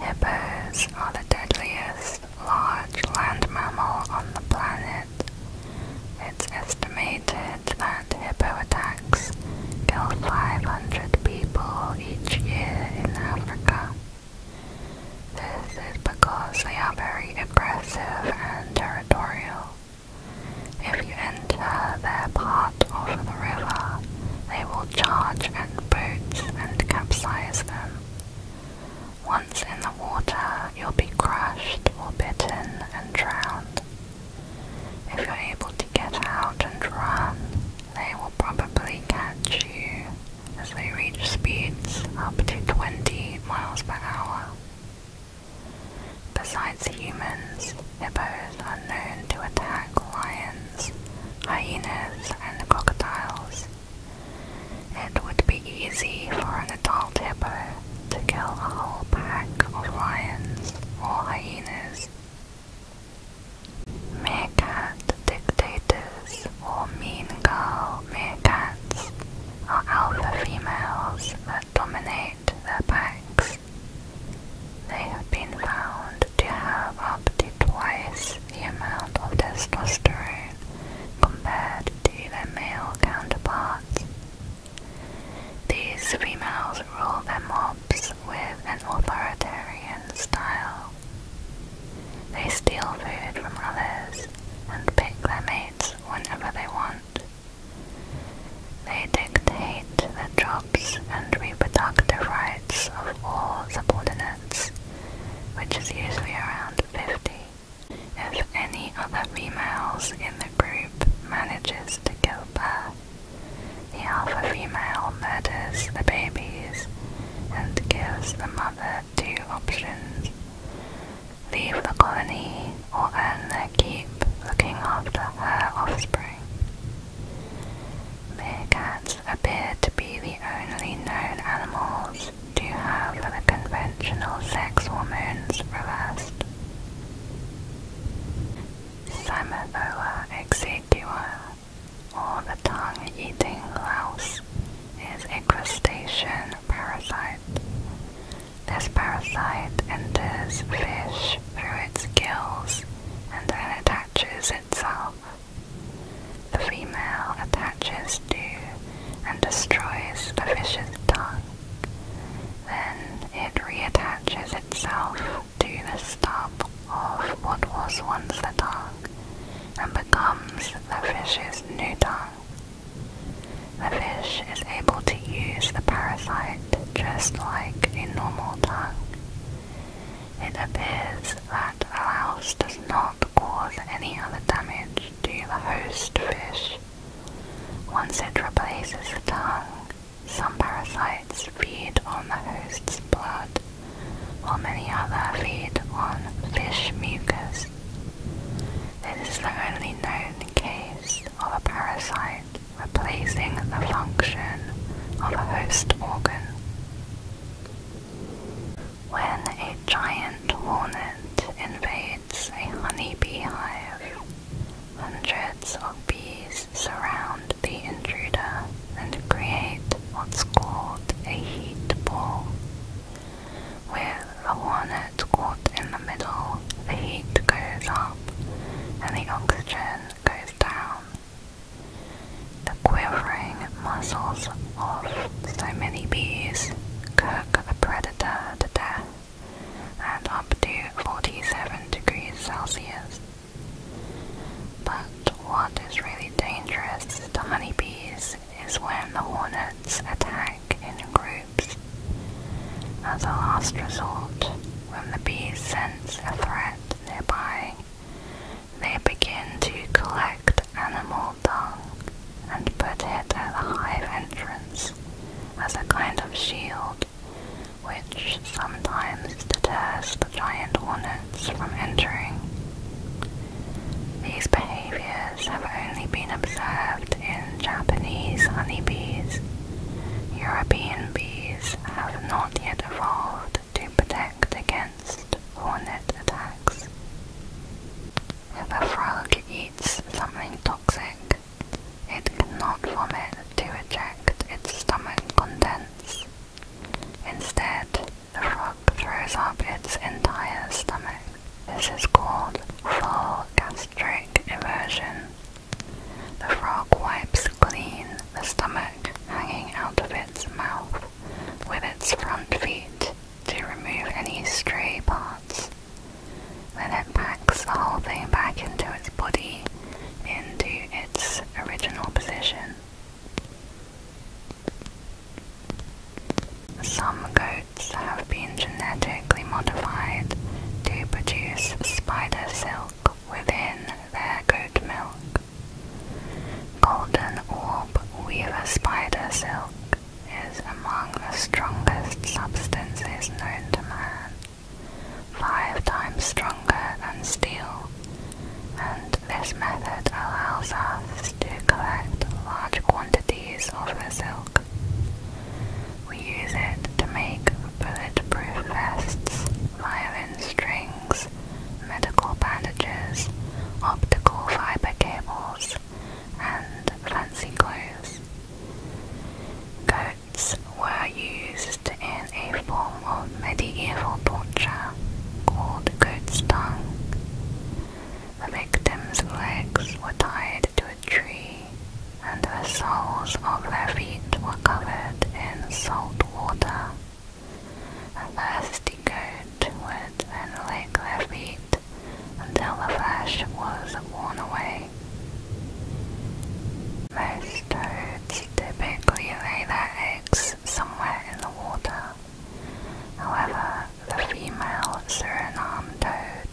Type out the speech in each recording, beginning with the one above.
Hippos are the deadliest large land mammal on the planet. It's estimated that hippo attacks kill 500 people each year in Africa. This is because they are very aggressive and territorial. If you enter their part of the river, they will charge boats and capsize them. Once in the water, you'll be crushed or bitten and drowned. If you're able to get out and run, they will probably catch you as they reach speeds up to 20 miles per hour. Besides humans, hippos are known to attack lions hyenas, and crocodiles. It would be easy for an adult hippo to kill a whole pack of lions or hyenas. Meerkat dictators or mean girl meerkats are alpha females that dominate their packs. They have been found to have up to twice the amount of testosterone compared to their male counterparts. These females rule their mobs with an authoritarian style. They steal food from others and pick their mates whenever they want. They dictate the jobs and reproductive rights of all subordinates which is usually around 50. If any other females in the group manages to go Burr, the alpha female murders the babies and gives the mother two options. Leave the colony or earn their keep looking after her offspring. Meerkats appear to be the only known animals to have the conventional sex hormones reversed. Cymothoa exiguo, or the tongue-eating louse, is a crustacean parasite. This parasite enters fish through its gills and then attaches itself the female attaches to and destroys the fish's tongue. Then it reattaches itself to the stub of what was once the tongue and becomes the fish's new tongue. The fish is able to use the parasite just like a normal tongue. It appears that a louse does not cause any other damage to the host fish. Once it replaces the tongue, some parasites feed on the host's blood, while many others feed on fish mucus. This is the only known case of a parasite replacing the function of a host organ. When a giant hornet invades a honeybee hive, hundreds of bees surround the intruder and create what's called a heat ball. Where the hornet's caught in the middle, the heat goes up and the oxygen goes down. The quivering muscles of so many bees cook a predator to death at up to 47 degrees Celsius. But what is really dangerous to honeybees is when the hornets attack in groups. As a last resort, when the bees sense a threat nearby, they begin to collect animal dung and put it at the hive entrance as a kind of shield, which sometimes deters giant hornets from entering. These behaviors have only been observed in Japanese honeybees. European bees have not yet evolved to protect against hornet attacks. If a frog eats something toxic, it cannot vomit to eject its stomach contents. Instead, the frog throws up its entire stomach. This is called full gastric inversion. The frog wipes clean the stomach hanging out of its mouth with its front feet to remove any stray parts. Then it packs the whole thing back into its body into its original position. Some goats have been genetically modified to produce spider silk within their goat milk. Golden orb weaver spider silk is among the strongest substances known to man, five times stronger than steel, and this method allows us to collect large quantities of the silk. We use it to make bulletproof vests, violin strings, medical bandages, optical fiber cables, and fancy clothes. Goats were used in a form of medieval torture called goat's tongue. The victims' legs were tied to a tree, and the soles of their feet were covered in salt water. A last he could would then lick their feet until the flesh was worn away. Most toads typically lay their eggs somewhere in the water. However, the female Suriname toad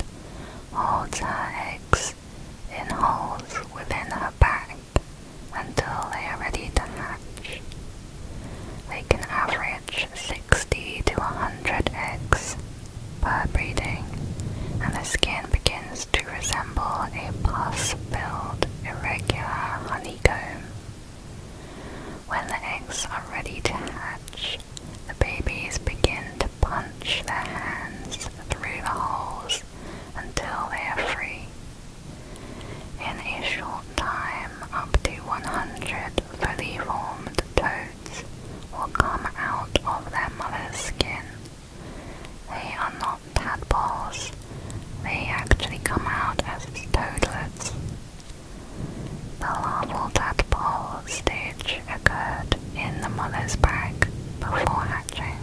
holds her eggs in holes within her back until they are ready to hatch. They can average 60 to 100 eggs per breeding, and the skin begins to resemble a pus-filled, irregular honeycomb. When the eggs are ready to hatch, the babies begin to punch their hands through the holes until they are free. In a short time, up to 100 fully formed toads will come out of their mother's skin. They are not tadpoles, they actually come out as toadlets. The larval tadpole stage occurred in the mother's bag before hatching.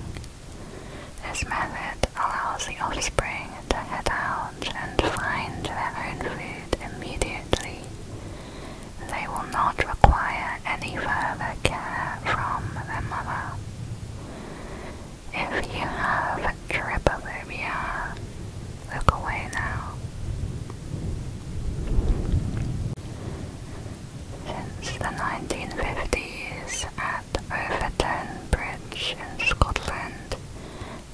This method allows the offspring to head out and find their own food immediately. They will not require any further care from the mother. If you have trypophobia, look away now. Since the 1950s, at Overton Bridge in Scotland,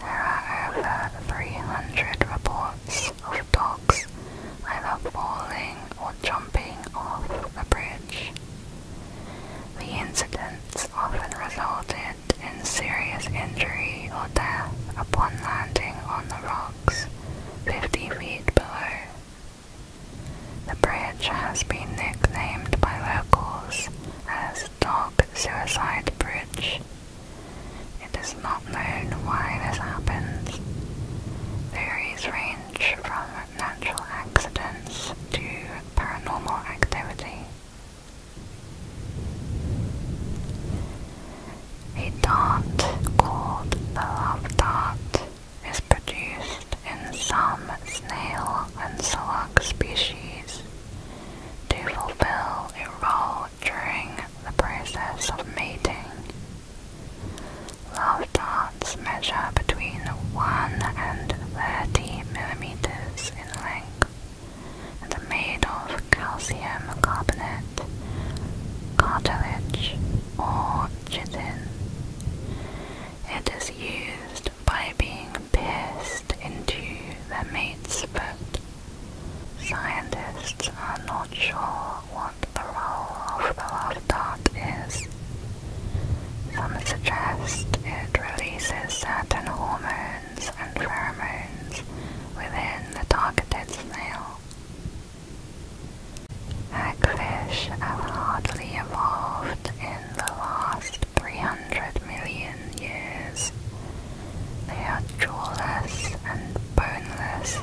there are over 300 reports of dogs either falling or jumping off the bridge. The incidents often resulted in serious injury or death upon landing on the rocks 50 feet below. The bridge has been nicknamed by locals as Dark suicide bridge. It is not known why this happens. Theories range from natural accidents to paranormal activity. A dart called the love dart is produced in some snail and slug species to fulfill a role during the process of mating. Love darts measure between 1 and 30 millimeters in length and are made of calcium carbonate, cartilage, or chitin. It is used by being pierced into the mate's foot. Scientists are not sure what the role of the love dart is. Some suggest it releases certain hormones and pheromones within the targeted snail. Hagfish have hardly evolved in in the last 300 million years. They are jawless and boneless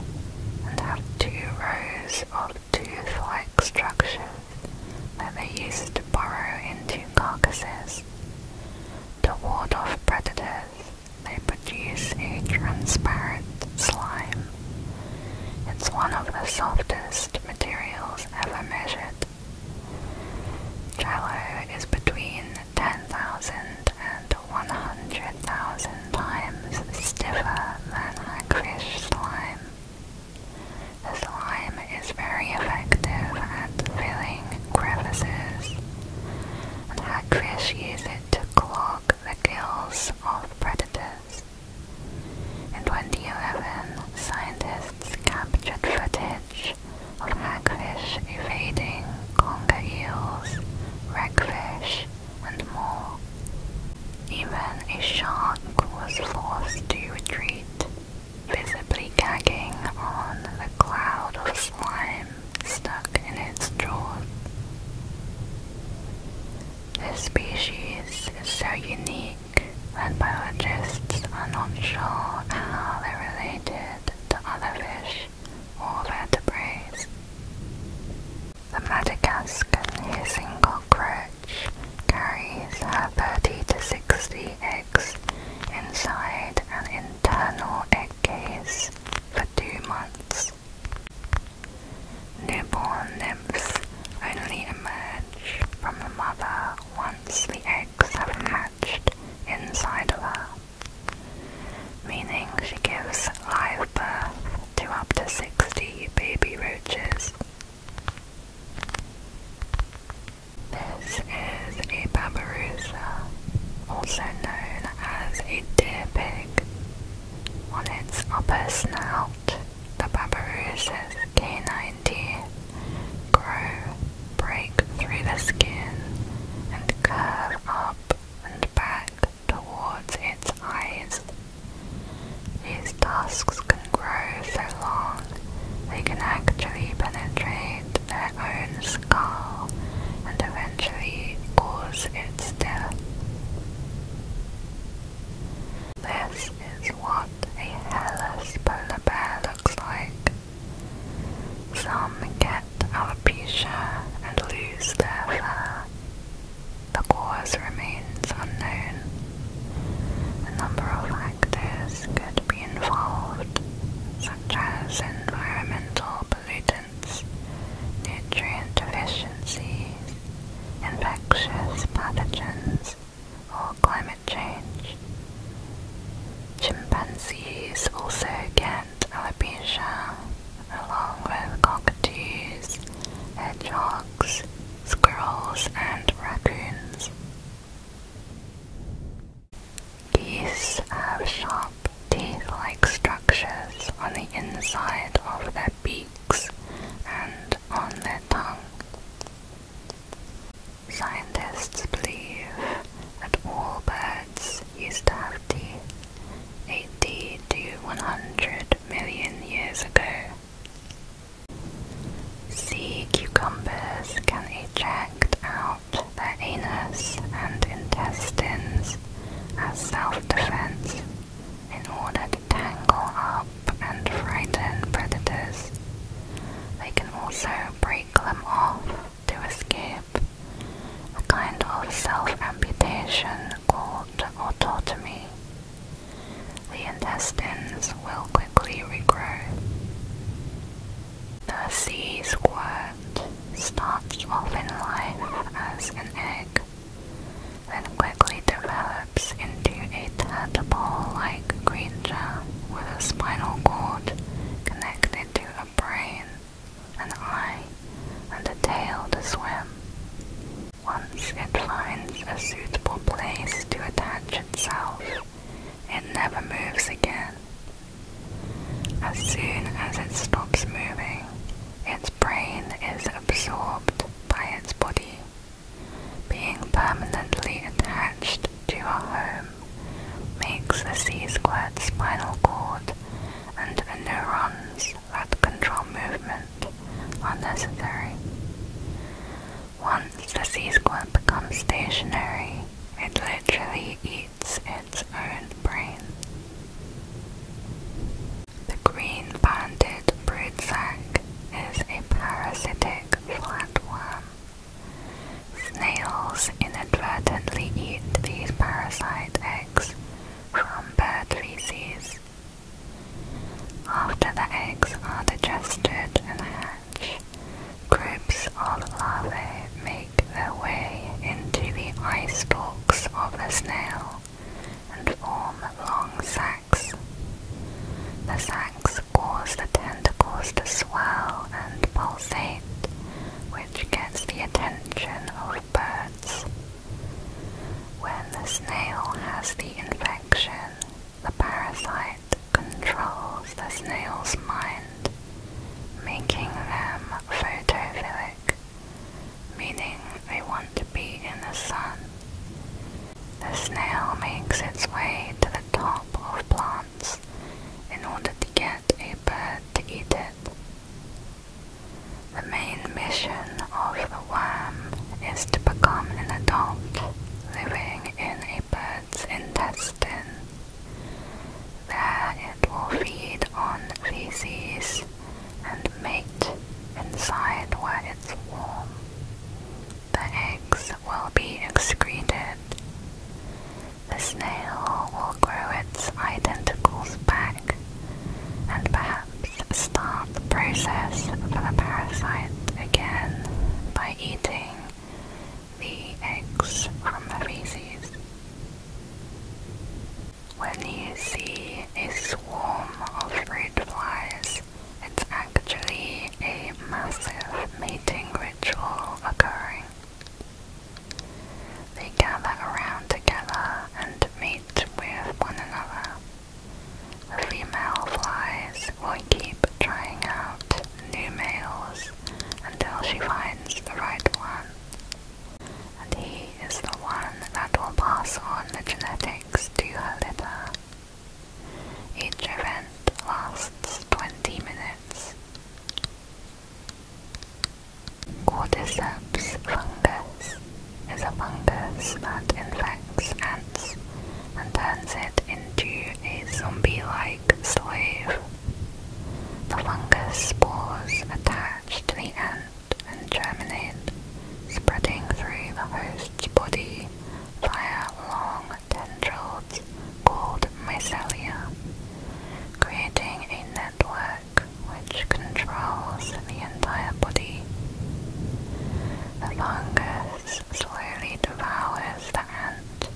and have two rows of tooth-like structures that they use to burrow into carcasses. To ward off predators, they produce a transparent slime. It's one of the softest materials ever measured Trello is between 10,000 and 100,000 times stiffer than a hackfish slime. The slime is very effective at filling crevices, and hackfish use it to clog the gills of predators. In 2011, scientists captured footage of hagfish evading conger eels, wreckfish, and more. Even a shark was forced to retreat, visibly gagging on the cloud of slime stuck in its jaws. This species is so unique Red biologists are not sure how they're related to other fish or vertebrates. The Madagascar hissing cockroach carries her 30 to 60 eggs inside an internal egg case for two months. Newborn nymphs only emerge from the mother once the eggs have hatched inside of her, meaning she gives live birth to up to 60 baby roaches. This is a babirusa, also known as a deer pig. On its upper snout, the babarusa's canine teeth grow, break through the skin, and curve up and back towards its eyes. Its tusks can grow so long they can actually penetrate their own skull and eventually cause its death. This is what a hairless polar bear looks like. Some get alopecia and lose their fur. The cause remains unknown. A number of factors could be involved, such as environmental pollutants, nutrient deficiencies, infectious pathogens, or climate change. Chimpanzees also get alopecia, along with cockatoos, hedgehogs, squirrels, and raccoons. These have sharp teeth-like structures on the inside of their beaks and on their tongue. Scientists believe that all birds used to have teeth 80 to 100 million years ago. Sea cucumbers can eject out their anus and intestines as self-defense in order to tangle up and frighten predators. They can also break them off to escape, a kind of self-amputation called autotomy. The intestines will quickly regrow. The sea squirt starts off in life as an egg, then quickly develops into a tadpole-like Green creature with a spinal cord connected to a brain, an eye, and a tail to swim. Once it finds a suitable place to attach itself, it never moves again. As soon as it stops moving, its brain is absorbed by its body being permanently attached to our home makes the C-squared spinal cord and the neurons that control movement unnecessary. Once the C-squared becomes stationary, it literally eats its own brain. The green-banded brood is a parasitic flatworm Snails inadvertently eat these parasite eggs from bad feces. After the eggs are digested and hatch, groups of larvae make their way into the eye stalks of the snail and form long sacs. The sacs wax cause the tentacles to swell and pulsate, which gets the attention of birds. When the snail has the infection, the parasite controls the snail's mind, making them photophilic, meaning they want to be in the sun. The snail makes its way to the top of plants in order to get a bird to eat it. The main mission of the worm is to become an adult living in a bird's intestine. where it will feed on feces and mate inside where it's warm. The eggs will be excreted. The snail will grow its identicals back and perhaps start the process for the parasite again by eating the eggs from the feces. When you see a swarm of fruit flies it's actually a massive mating ritual occurring. They gather around together and meet with one another. The female flies will keep trying out new males until she finds the right one. And he is the one that will pass on the genetics to her litter each event lasts 20 minutes. Cordyceps fungus is a fungus that infects ants and turns it into a zombie-like slave. The fungus spores attach to the ant and germinate, spreading through the host's body via long tendrils called mycelia, creating a network which controls the entire body. The fungus slowly devours the ant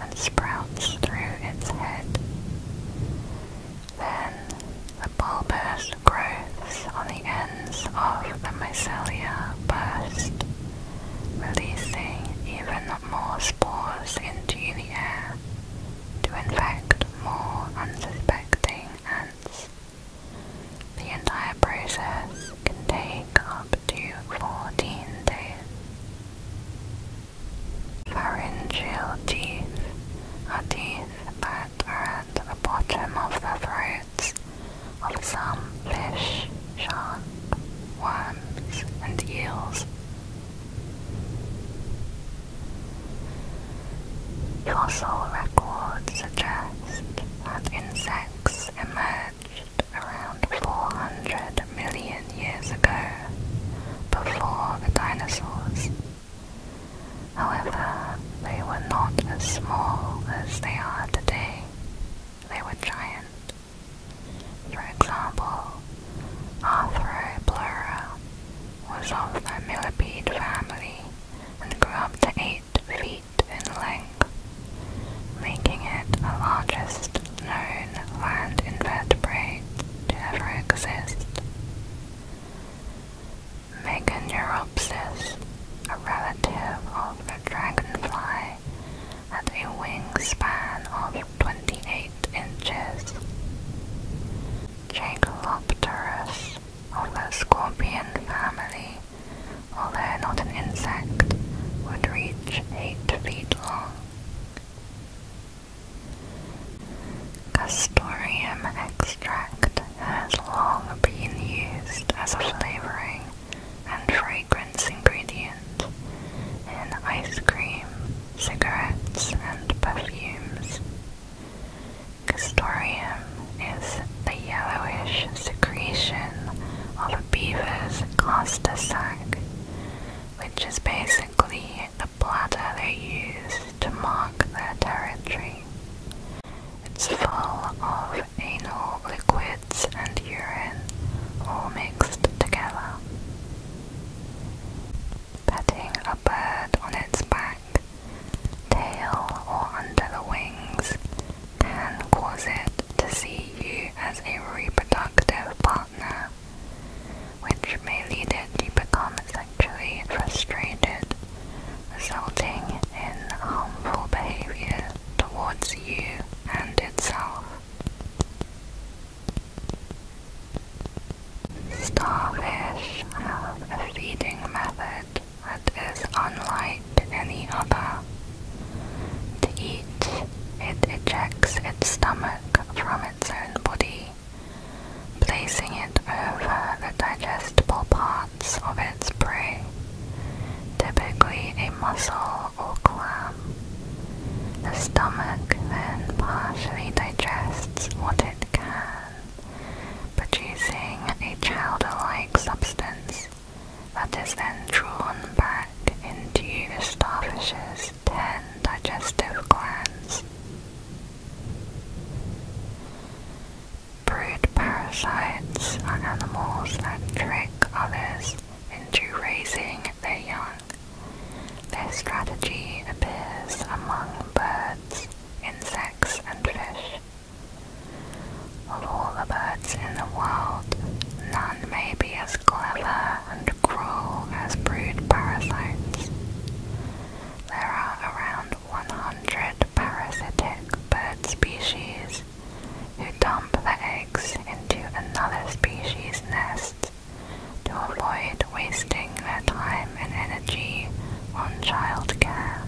and sprouts through its head. Then the bulbous growths on the ends of the mycelia burst, releasing even more spores into the air to infect more unsuspecting ants. The entire process can take up to 14 days. Pharyngeal teeth are teeth that are at the bottom of the throat heads of some fish, shark, worms, and eels. Fossil records suggest that insects emerged around 400 million years ago, before the dinosaurs. However, they were not as small as they are today. They were giant, for example, Arthroplura was of the millipede family and grew up to 8 feet in length, making it the largest known land invertebrate to ever exist. Meganeuropsis, a relative of the dragonfly high, a wingspan of 28 inches. Jacalopterus, of the scorpion family, although not an insect, would reach 8 feet long. Castorium extract has long been used as a flavoring and fragrance ingredients in ice cream, cigarettes, and perfumes. Castorium is the yellowish secretion of a beaver's cluster sac, which is basically the bladder they use to mark their territory. It's full of anal liquid and urine all mixed together. Petting a bird on its back, tail, or under the wings can cause it to see you as a reproductive partner, which may lead it to become sexually frustrated, resulting in harmful behavior towards you and itself. Starfish have a feeding method that is unlike any other. To eat, it ejects its stomach from its own body, placing it over the digestible parts of its prey, typically a mussel or clam. The stomach then partially digests what it can, producing a chowder-like substance that is then drawn back into the starfish's ten digestive glands. Brood parasites are animals that trick others into raising their young. Their strategy appears among birds, insects, and fish. Of all the birds in the world, none may be as clever and cruel as brood parasites. There are around 100 parasitic bird species birds, who dump the eggs into another species' nest to avoid wasting their time and energy on childcare.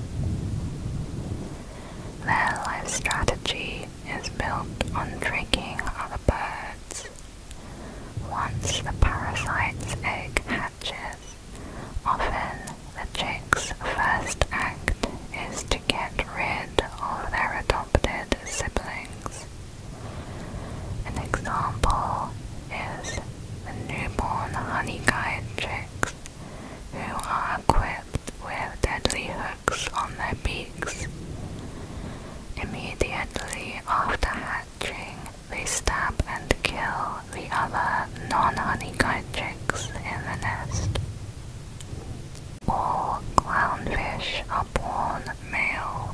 Their life strategy is built on tricking other birds. Once the parasite's egg hatches, often the chick's first act is to get rid of their adopted siblings. An example is the newborn honeyguide chicks, who are equipped with deadly hooks on their beaks. Immediately after hatching, they stab and kill the other non honeyguide chicks in the nest. All clownfish are born male.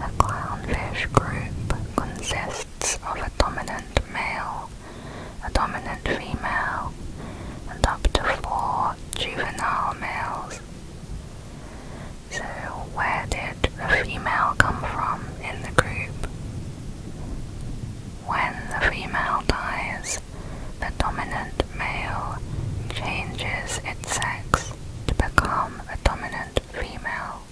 A clownfish group consists of a dominant male, a dominant female, and up to four juvenile males. So, where did the female come from in the group? When the female dies, the dominant male changes its sex to become a dominant female,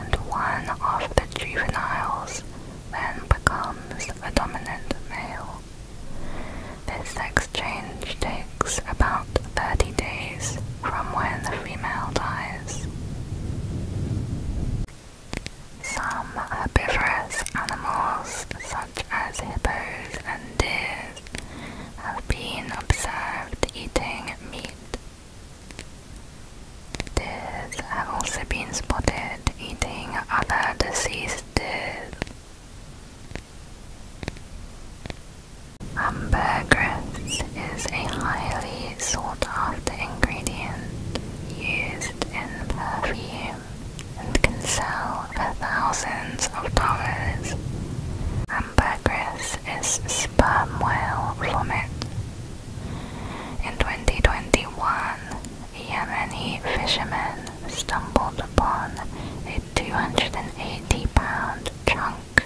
and one of the juveniles then becomes the dominant male. This sex change takes about 30 days from when the female dies. Some herbivorous animals, such such as hippos and deer, have been observed eating meat. deer have also been spotted eating other deceased deer. Ambergris is a highly sought after ingredient used in perfume and can sell for thousands of dollars. Ambergris is sperm whale vomit. In 2021, Yemeni fishermen stumbled upon a 280 pound chunk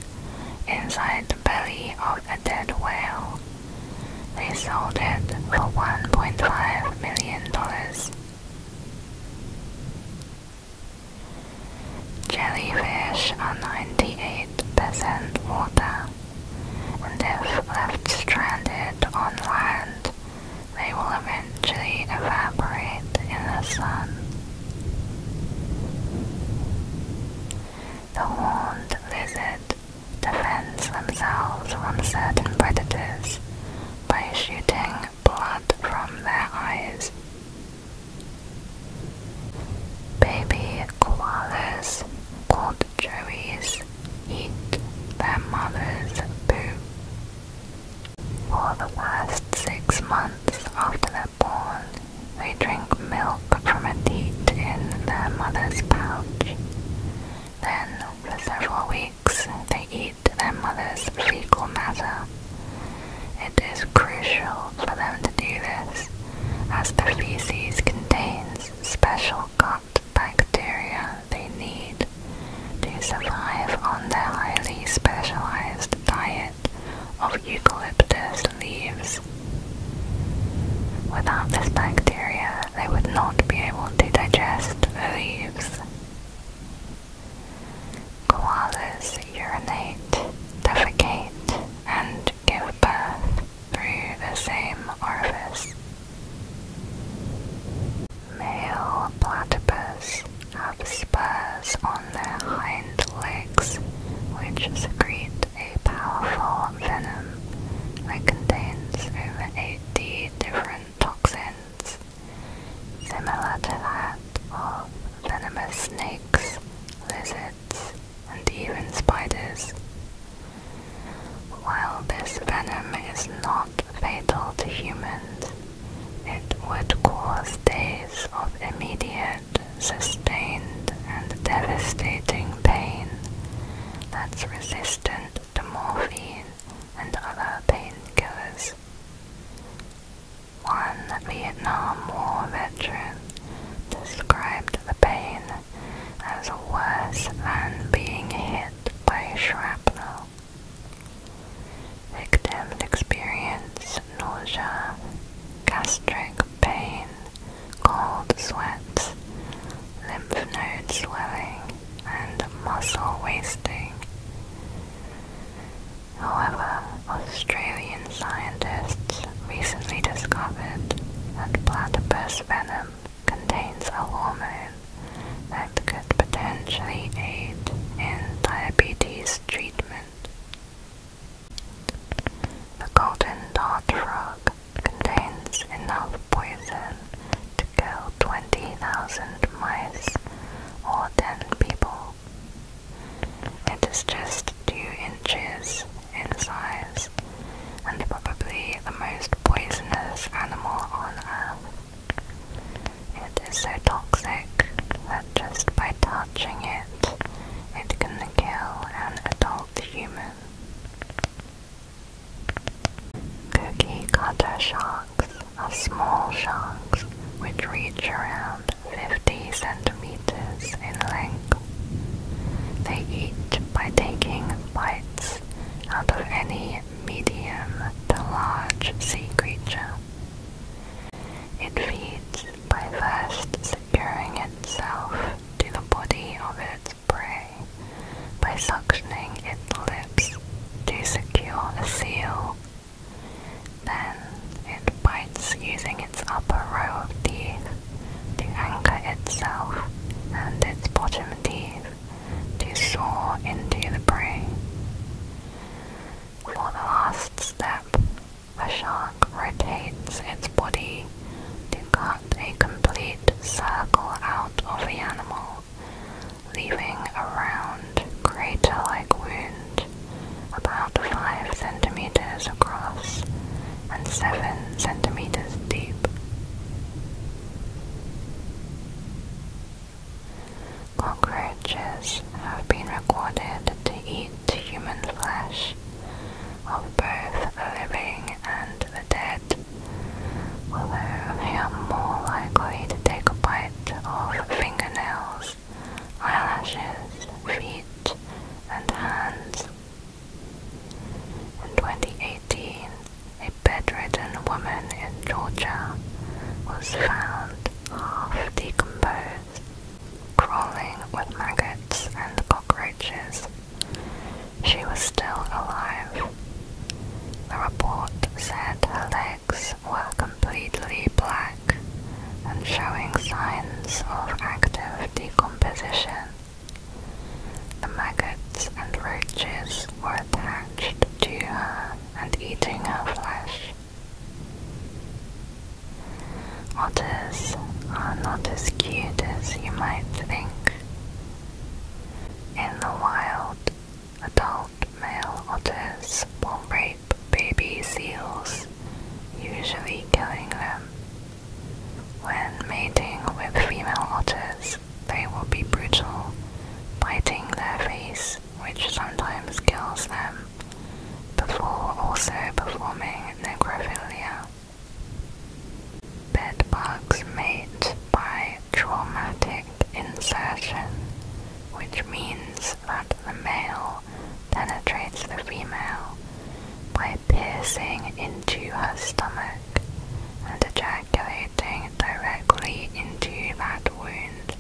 inside the belly of a dead whale. They sold it for $1.5 million. Jellyfish are 98% water, and if left stranded on land, they will eventually evaporate in the sun. The horned lizard defends themselves from certain predators by shooting blood from their eyes. Baby koalas, called joeys, eat their mother's poo. For the last six months after they're born, they drink milk from a teat in their mother's pouch. Then, for several weeks, they eat to their mother's fecal matter. It is crucial for them to do this, as the feces contains special gut bacteria they need to survive on their highly specialized diet of eucalyptus leaves. Without this bacteria, they would not be able to digest the leaves. Koalas urinate, defecate, and give birth through the same orifice. Male platypus have spurs on their hind legs which secrete a powerful venom that contains over 80 different toxins, similar to that of venomous snakes, lizards, and even spiders. While this venom is not fatal to humans, it would cause days of immediate, sustained, and devastating pain that's resistant to morphine and other painkillers. One Vietnam War veteran described the pain as worse than being hit by shrapnel. Victims experience nausea, gastric pain, cold sweats, lymph node swelling, and muscle wasting. However, Australian scientists recently discovered that platypus venom contains a hormone that could potentially aid in diabetes treatment. The golden dart frog contains enough poison to kill 20,000 mice or 10 people. It is just 2 inches in size and probably the most poisonous animal on earth. It is so toxic that just by touching it, it can kill an adult human. Cookie cutter sharks are small sharks which reach around 50 centimeters in length. They eat by taking bites out of any medium to large sea creature. It feeds by first securing itself to the body of its prey by suctioning its lips to secure a seal. Then it bites using its upper row of teeth to anchor itself and its bottom teeth to saw into the prey. For the last step, the shark rotates its body to cut a complete circle out of the animal leaving a round crater-like wound about 5 centimeters across and 7 centimeters deep. Cockroaches have been recorded to eat human flesh of both the living and the dead although they are more likely to take a bite of fingernails, eyelashes, feet, and hands. In 2018, a bedridden woman in Georgia was found half decomposed, crawling with maggots and cockroaches. She was still alive the report said her legs were completely black and showing signs of active decomposition. The maggots and roaches were attached to her and eating her flesh. Otters are not as cute as you might think. In the wild, Adult male otters will rape baby seals, usually killing them. When mating with female otters, they will be brutal, biting their face, which sometimes kills them, before also performing necrophilia. Bedbugs mate by traumatic insertion, which means that the male penetrates the female by piercing into her stomach and ejaculating directly into that wound.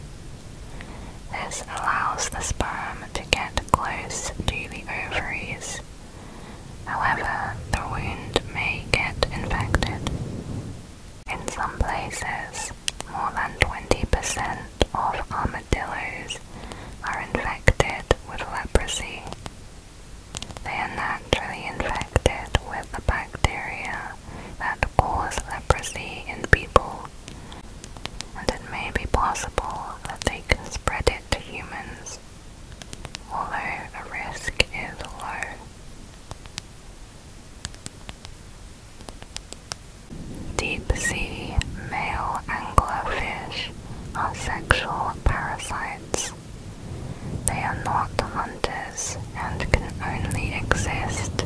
This allows the sperm to get close to the ovaries. However, the wound may get infected. In some places, more than 20% of armadillos are infected with leprosy. They are naturally infected with the bacteria that cause leprosy in people, and it may be possible that they can spread it to humans, although the risk is low. Deep sea male anglerfish are sexual parasites. They are not hunters and can only exist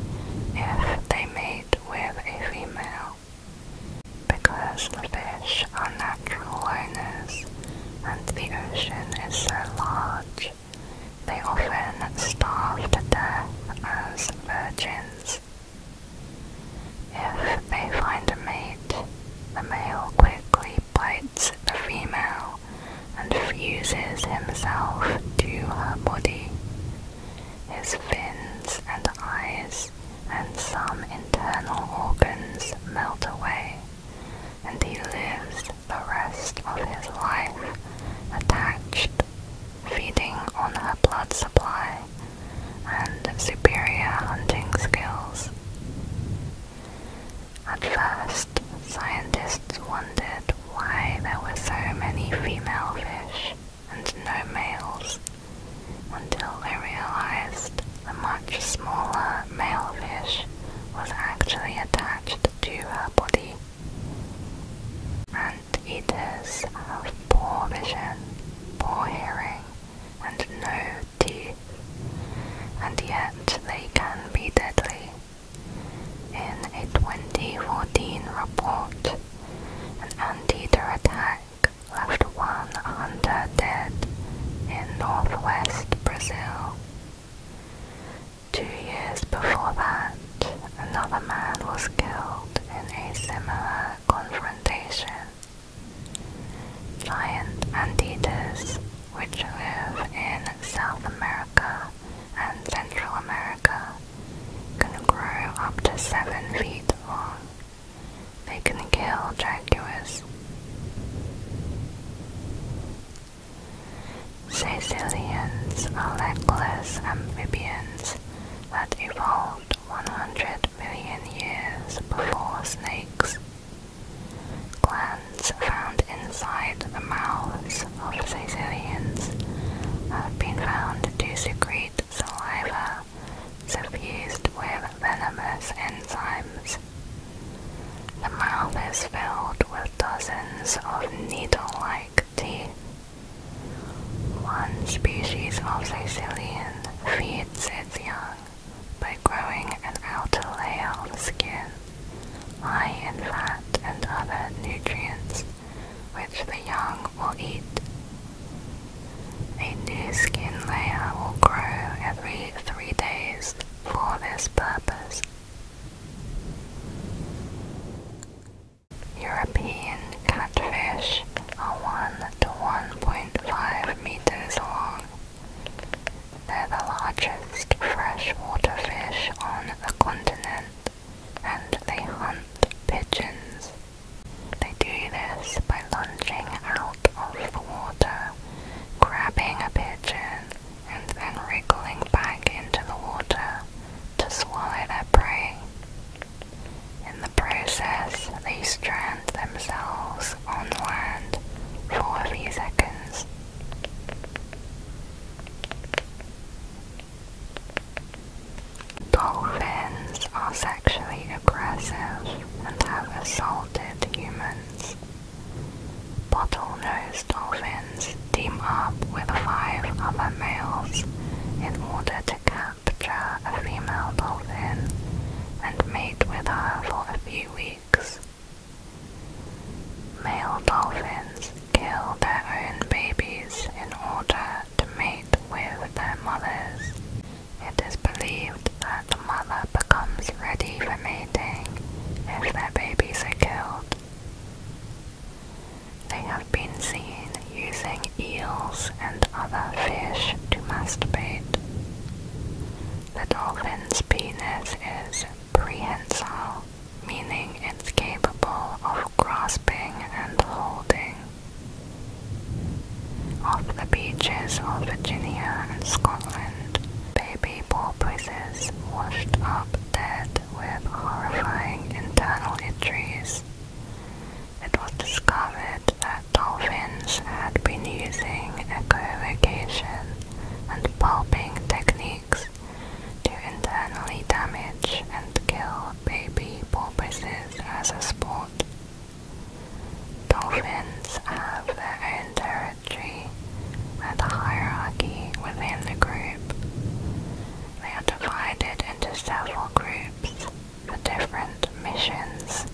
if they mate with a female. Because the fish are natural loners and the ocean is so large, they often starved there as virgins. If they find a mate, the male quickly bites the female and fuses himself to her body. His fins and eyes and some internal organs melt away, and he lives the rest of his life attached, feeding on her blood supply and superior hunting skills. At first, scientists wondered why there were so many female fish and no males, until they realized the much smaller male fish was actually attached to her body, and eaters have poor vision, poor hearing, and no teeth, and yet they can be deadly. In a 2014 report, an anteater attack left one under dead in northwest Brazil. Two years before that, another man was killed in a similar confrontation. Giant anteaters, which live in South America and Central America, can grow up to 7 feet long. They can kill jaguars. Sicilians are legless amphibians that evolved 100 million years before snakes. Glands found inside the mouths of Sicilians have been found to secrete saliva suffused with venomous enzymes the mouth is filled with dozens of needle-like teeth. One species of Sicilian feeds its young by growing an outer layer of skin, high in fat and other nutrients, which the young will eat. A new skin layer will grow every three days for this purpose European catfish are 1 to 1.5 meters long. They're the largest freshwater fish on the continent and they hunt pigeons. They do this by lunging out of the water, grabbing a pigeon and then wriggling back into the water to swallow their prey. In the process, they strand themselves on land for a few seconds. Dolphins are sexually aggressive and have assaulted humans. Bottlenose dolphins team up with five other males in order to capture a female dolphin and mate with her for a few weeks. Male dolphins kill their own babies in order to mate with their mothers. It is believed that the mother becomes ready for mating if her babies are killed. They have been seen using eels and other fish to masturbate. The dolphin's penis is prehensile, meaning it's capable of grasping and holding. Off the beaches of Virginia and Scotland, baby porpoises washed up dead with horrifying internal injuries. It was discovered that dolphins had been using echolocation and pulping techniques to internally damage and kill baby porpoises as a sport. Dolphins have their own territory Tree and the hierarchy within the group. They are divided into several groups for different missions,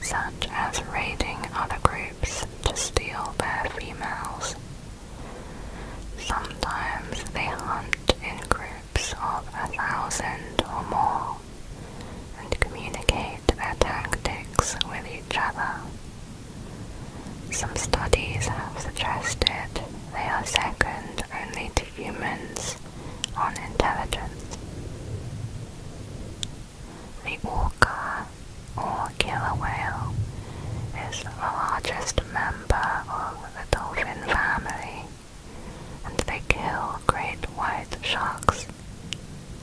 such as raiding other groups to steal their females. Sometimes they hunt in groups of a thousand or more and communicate their tactics with each other. Some studies have suggested they are second only to humans on intelligence. The orca, or killer whale, is the largest member of the dolphin family, and they kill great white sharks.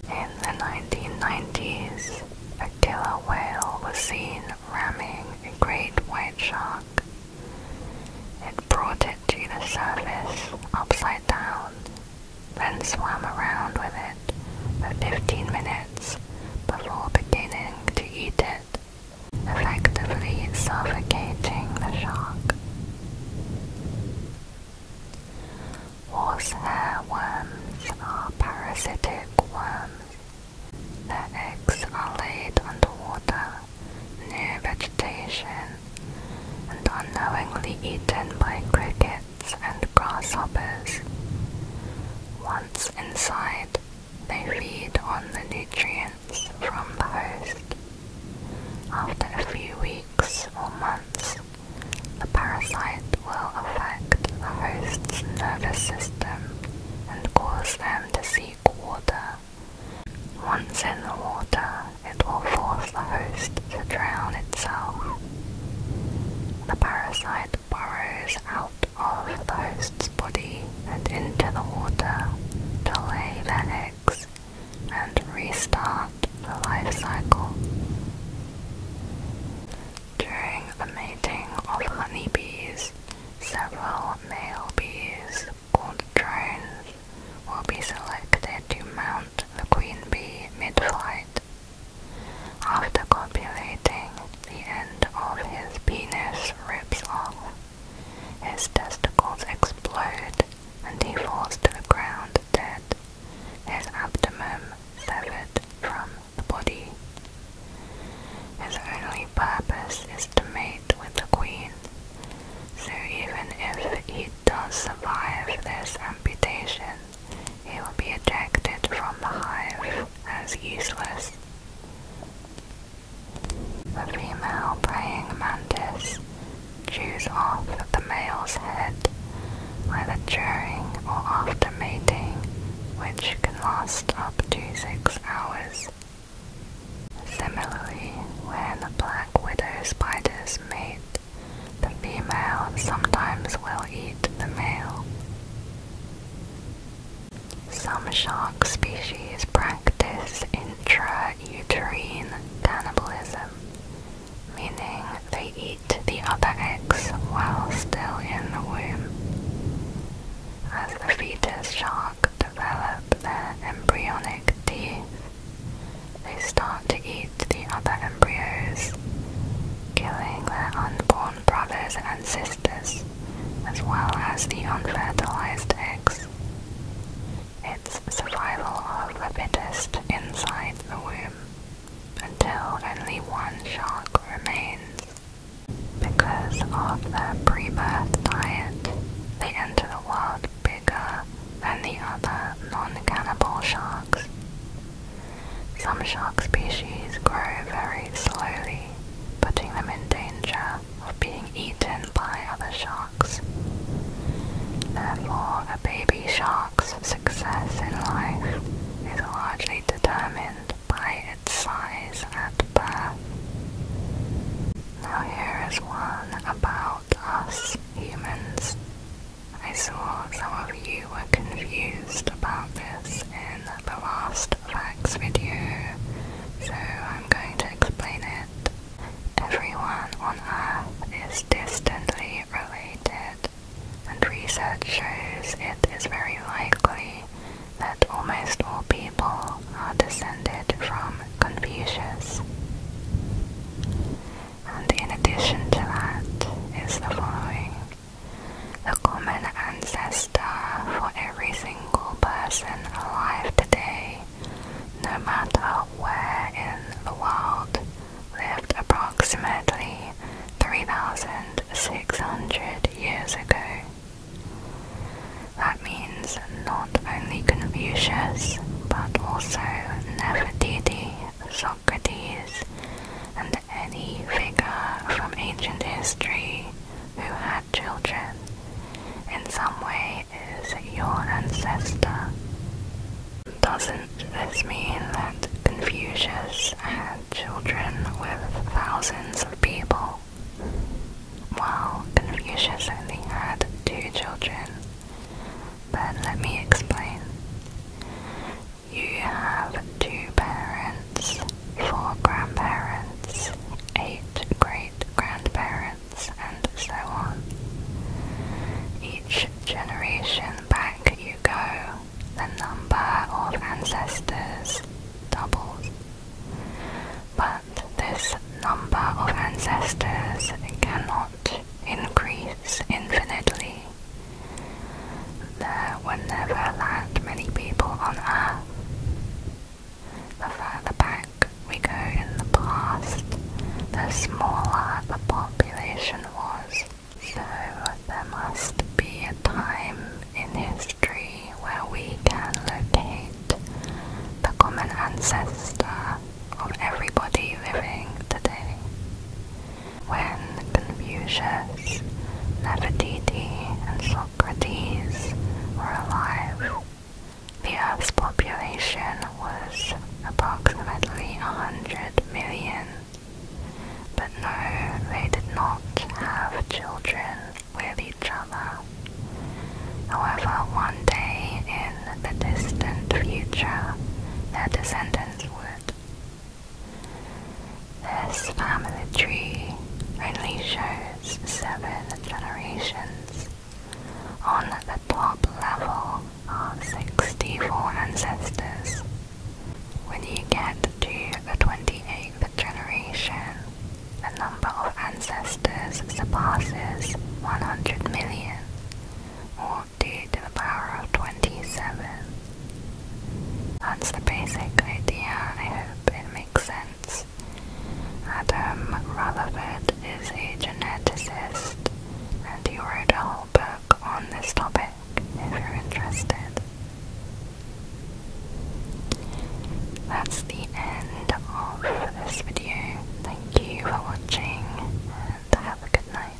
In the 1990s, a killer whale was seen ramming a great white shark. It brought it to the surface upside down, then swam around with it for 15 minutes before beginning to eat it, effectively suffocating the shark. Horsehair worms are parasitic worms. Their eggs are laid underwater, near vegetation, and unknowingly eaten by crickets and grasshoppers. Once inside, they feed on the nutrients from the host. After a few weeks or months, the parasite will affect the host's nervous system and cause them to seek water. Once in the water, it will force the host to drown itself. The parasite burrows out of the host's body and into the water to lay their eggs and restart the life cycle. During the mating of honeybees, several male bees, called drones, will be selected to mount the queen bee mid-flight. After copulating, the end of his penis rips off. His testicles explode and he falls to the ground dead, his abdomen severed from the body. His only purpose is to mate with the queen, so even if he does survive this amputation, he will be ejected from the hive as useless. The female praying mantis chews off the male's head whether during or after mating, which can last up to six hours. Similarly, when the black widow spiders mate, the female sometimes will eat the male. Some shark species practice intrauterine cannibalism, meaning they eat to the other eggs while still in the womb. As the fetus shark develop their embryonic teeth, they start to eat the other embryos, killing their unborn brothers and sisters, as well as the unfertilized eggs. It's survival of the fittest inside the womb until only one shark remains. Because of their pre-birth diet, they enter the world bigger than the other non-cannibal sharks. Some shark species grow very slowly, putting them in danger of being eaten by other sharks. Therefore, a baby shark's success in life is largely determined by its size at birth. Now here is one about us humans. I saw some of you were confused about this in the last facts video, so I'm going to explain it. Everyone on Earth is distantly related and research shows it is very likely that almost all people are descended from Confucius. And in addition to that is the following. The common ancestor for every single person alive today, no matter where in the world, lived approximately 3,000 600 years ago. That means not only Confucius, but also Nefertiti, Socrates, and any figure from ancient history who had children, in some way is your ancestor. Doesn't this mean that Confucius parents had children with thousands of people, while Confucius only had two children. But let me explain. You have two parents, four grandparents, eight great grandparents, and so on. Each generation back you go the number of ancestors doubles. But this number of ancestors cannot increase infinitely. There were never that many people on Earth. The further back we go in the past, the smaller the population was. So there must be a time in history where we can locate the common ancestor of everybody living today. When Confucius, Nefertiti, and Socrates were alive, the Earth's population was approximately 100 million but no, they did not have children with each other. However, one day in the distant future, their descendants would. This family tree only shows seven generations. On the top level are 64 ancestors when you get to the 28th generation, the number of ancestors surpasses 100 million, or 2 to the power of 27. That's the basic idea, I hope it makes sense. Adam Rutherford is a geneticist, and he wrote a whole book on this topic if you're interested. That's the end of this video. Thank you for watching and have a good night.